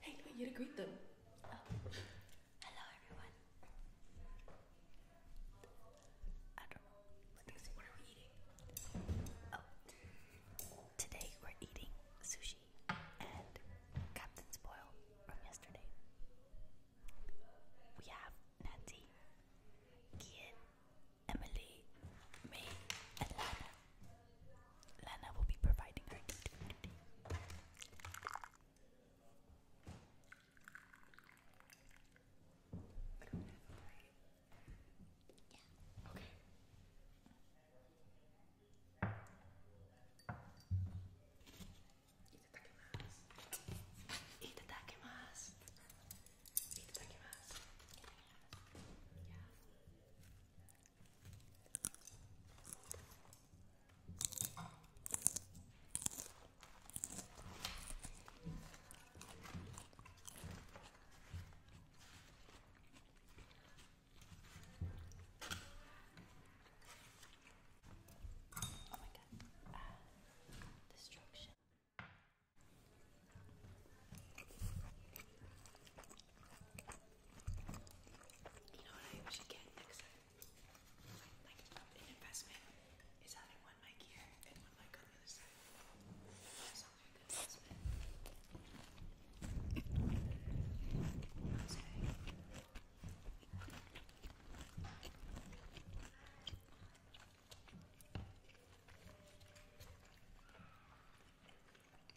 Hey, you you to greet them. Hello, everyone. Oh. Today we're eating sushi and Captain Spoil from yesterday. We have Natty, Kian, Emily, me, and Lana. Lena will be providing her duty. Yeah. Okay. Itadakimasu. Itadakimasu. Itadakimasu. Oh my god. Uh, destruction. You know what I should get next time? Like an investment is having one mic here and one mic on the other side. That sounds like a good investment. Okay.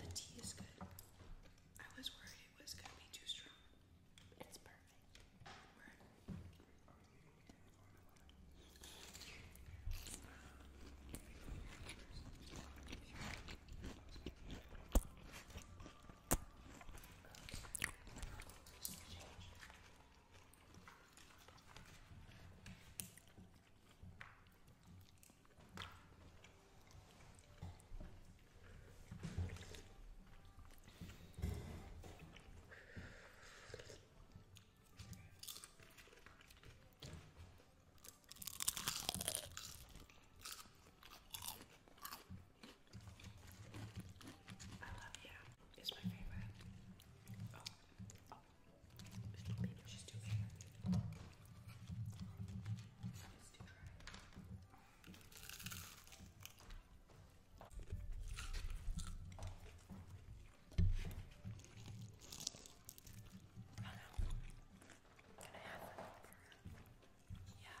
The tea is good. I was worried it was going to be too strong. It's perfect. I love you. It's my favorite. Oh, oh, Maybe she's too fair. It's too dry. Oh no. Can I have that? Yeah.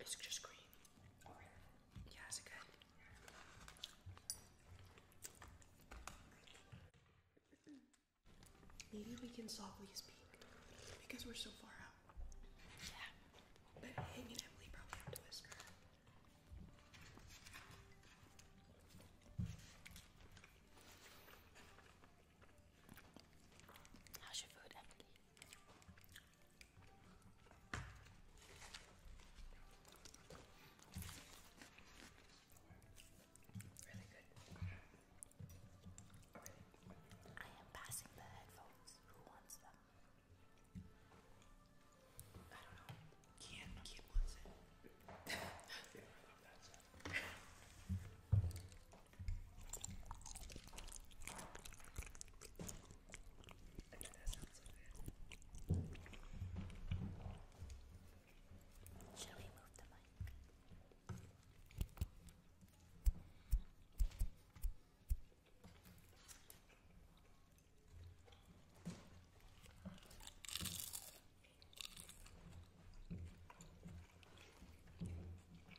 It's just green. Yeah, is good? Maybe we can softly speak because we're so far out. Yeah. But Emily probably have to whisper. How's your food, Emily? Really good. I am passing the headphones. Who wants them? I don't know. Can't can't I know that sounds so good. Should we move the mic?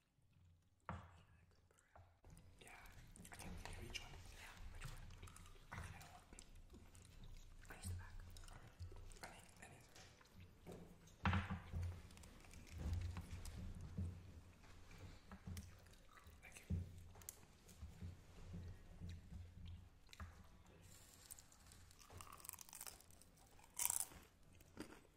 Yeah, I think we can each one. Yeah, which one? I think I don't want. I use the back. Okay. I think that is right. Thank you.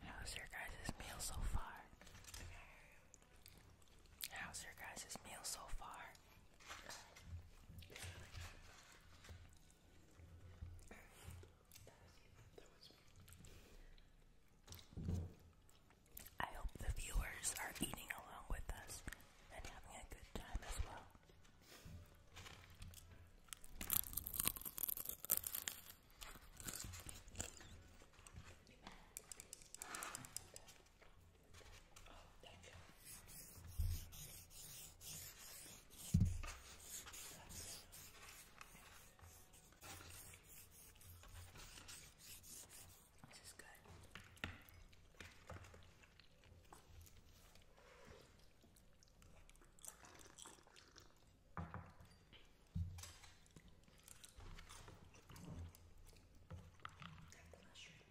How's your guys' meal so far? How's your guys' meal so far? I hope the viewers are eating along with us and having a good time as well. thank you. This is good. Take the mushroom.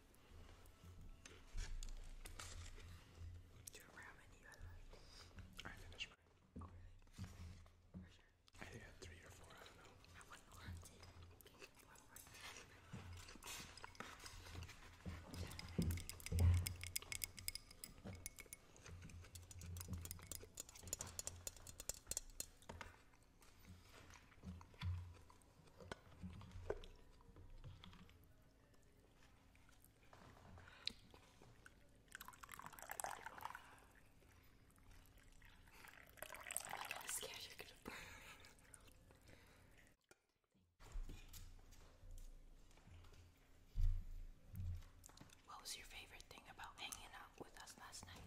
Do you remember how many you had I finished oh, I had three or four, I don't know god, you What was your favorite thing about hanging out with us last night?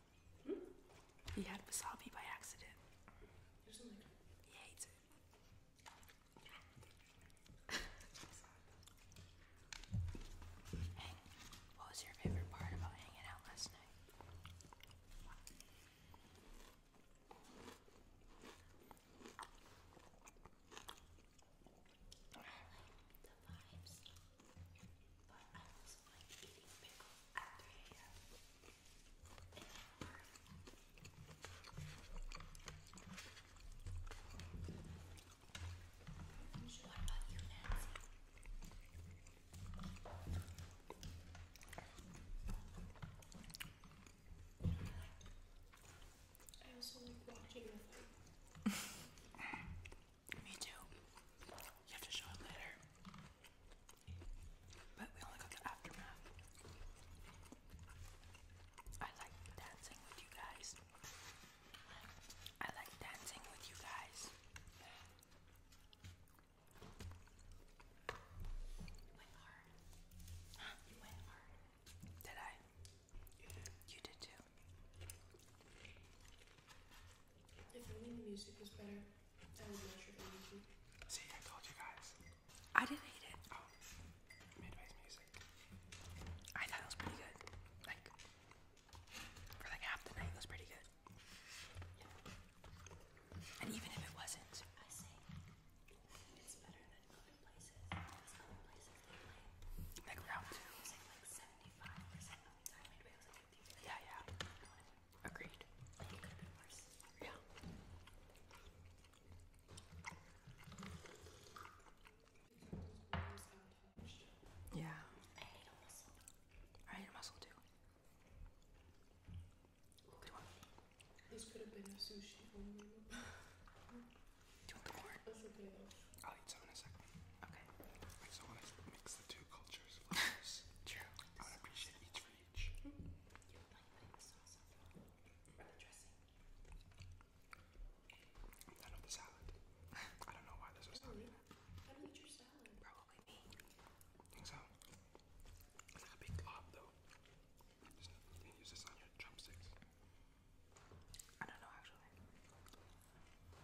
Hmm? He had wasabi by accident. He hates it. what was your favorite part about hanging out last night? The vibes. But I was like eating pickles at 3 a.m. what about you, Nancy? I also like watching the fight. Me too. You have to show it later. But we only got the aftermath. I like dancing with you guys. I like dancing with you guys. You went hard. You went hard. Did I? You did too. If only the music was better, I would watch it on See, I told you guys. I didn't hate it. Oh, Midway's music. I thought it was pretty good. Like, for like half the night, it was pretty good. And even if it wasn't, I say it's better than other places. other places Like round two. Yeah, yeah. Agreed. Yeah. Yeah. I need a muscle. I need a muscle too. This could have been a sushi only. Do you want the corn? I'll eat some in a second. Okay. I just want to mix the two cultures. True. I appreciate each for each. Mm -hmm. You know the salad. I don't know why this was really? happening. How do your salad? Probably me. so. It's like a big glob though. Just, use this on your drumsticks. I don't know actually.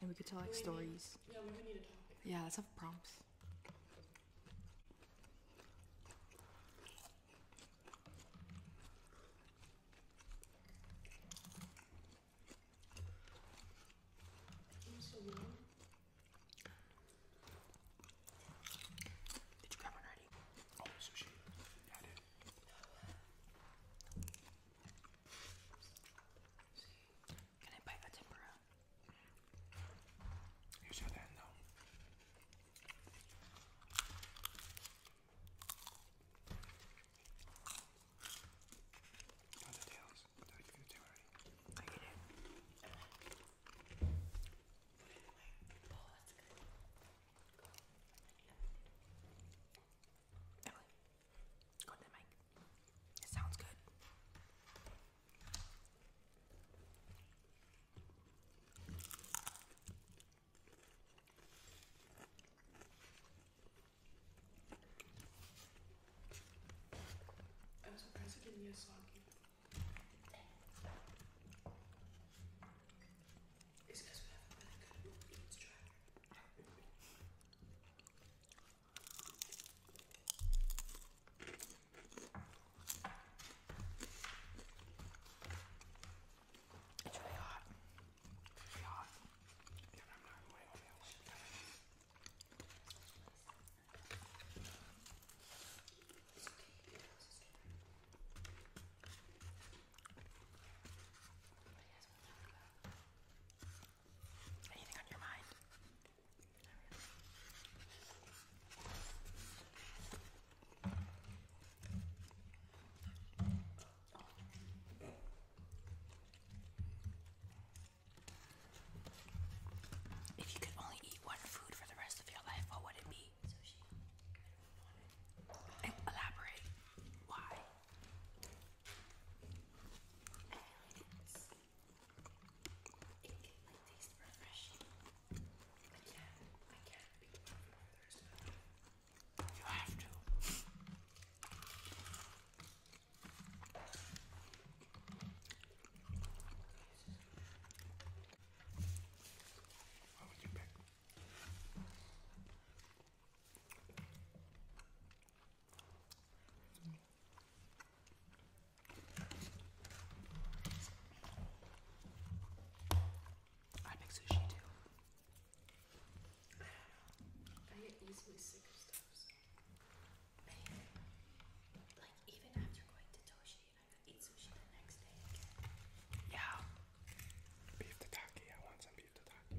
and we could tell like stories. yeah, let's have prompts. Did you grab one already? Oh, sushi. Yeah, did. Can I bite a tempura? Use your hand though. Try the tails. I thought you could do already. I get it. Oh, Go to the It sounds good. I'm surprised it didn't get soggy. It's because we have a really good movie. It's dry. It's really hot. It's really hot. Even I'm not going over else. What do you guys want to talk about? Anything on your mind? If you could only eat one food for the rest of your life, what would it be? Elaborate. Why? I feel like it's, it can like taste refreshing. I can't, I can't be one more Thursday. You have to. What would you pick? I make sushi too. I get easily sick of stuff. like even after going to Toshi, I eat sushi the next day Yeah. Beef tataki. I want some beef tataki.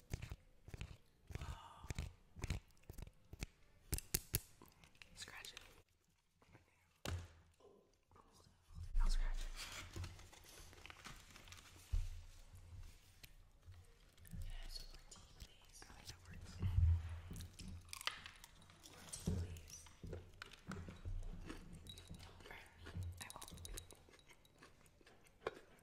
Oh. Scratch it. I'll scratch it. Can I have some more tea, please? I think that works. More tea, please. Don't burn me. I won't.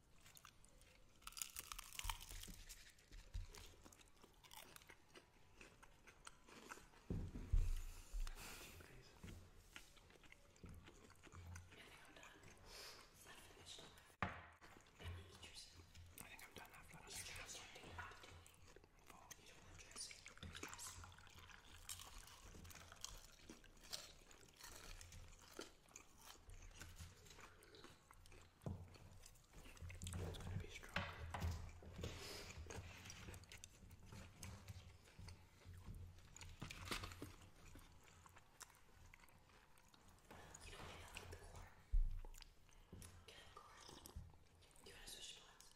I think I'm done after that. You don't want dressing. Dressing. It's going to be strong. You don't need to the pool. Get a cord. Do you want to switch spots?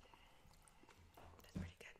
That's pretty good.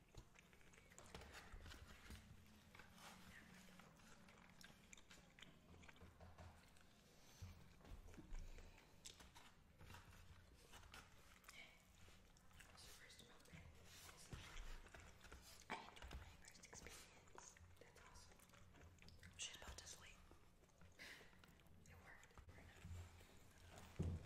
was your first moment. I enjoyed my first experience. That's awesome. She's about to sleep. It worked.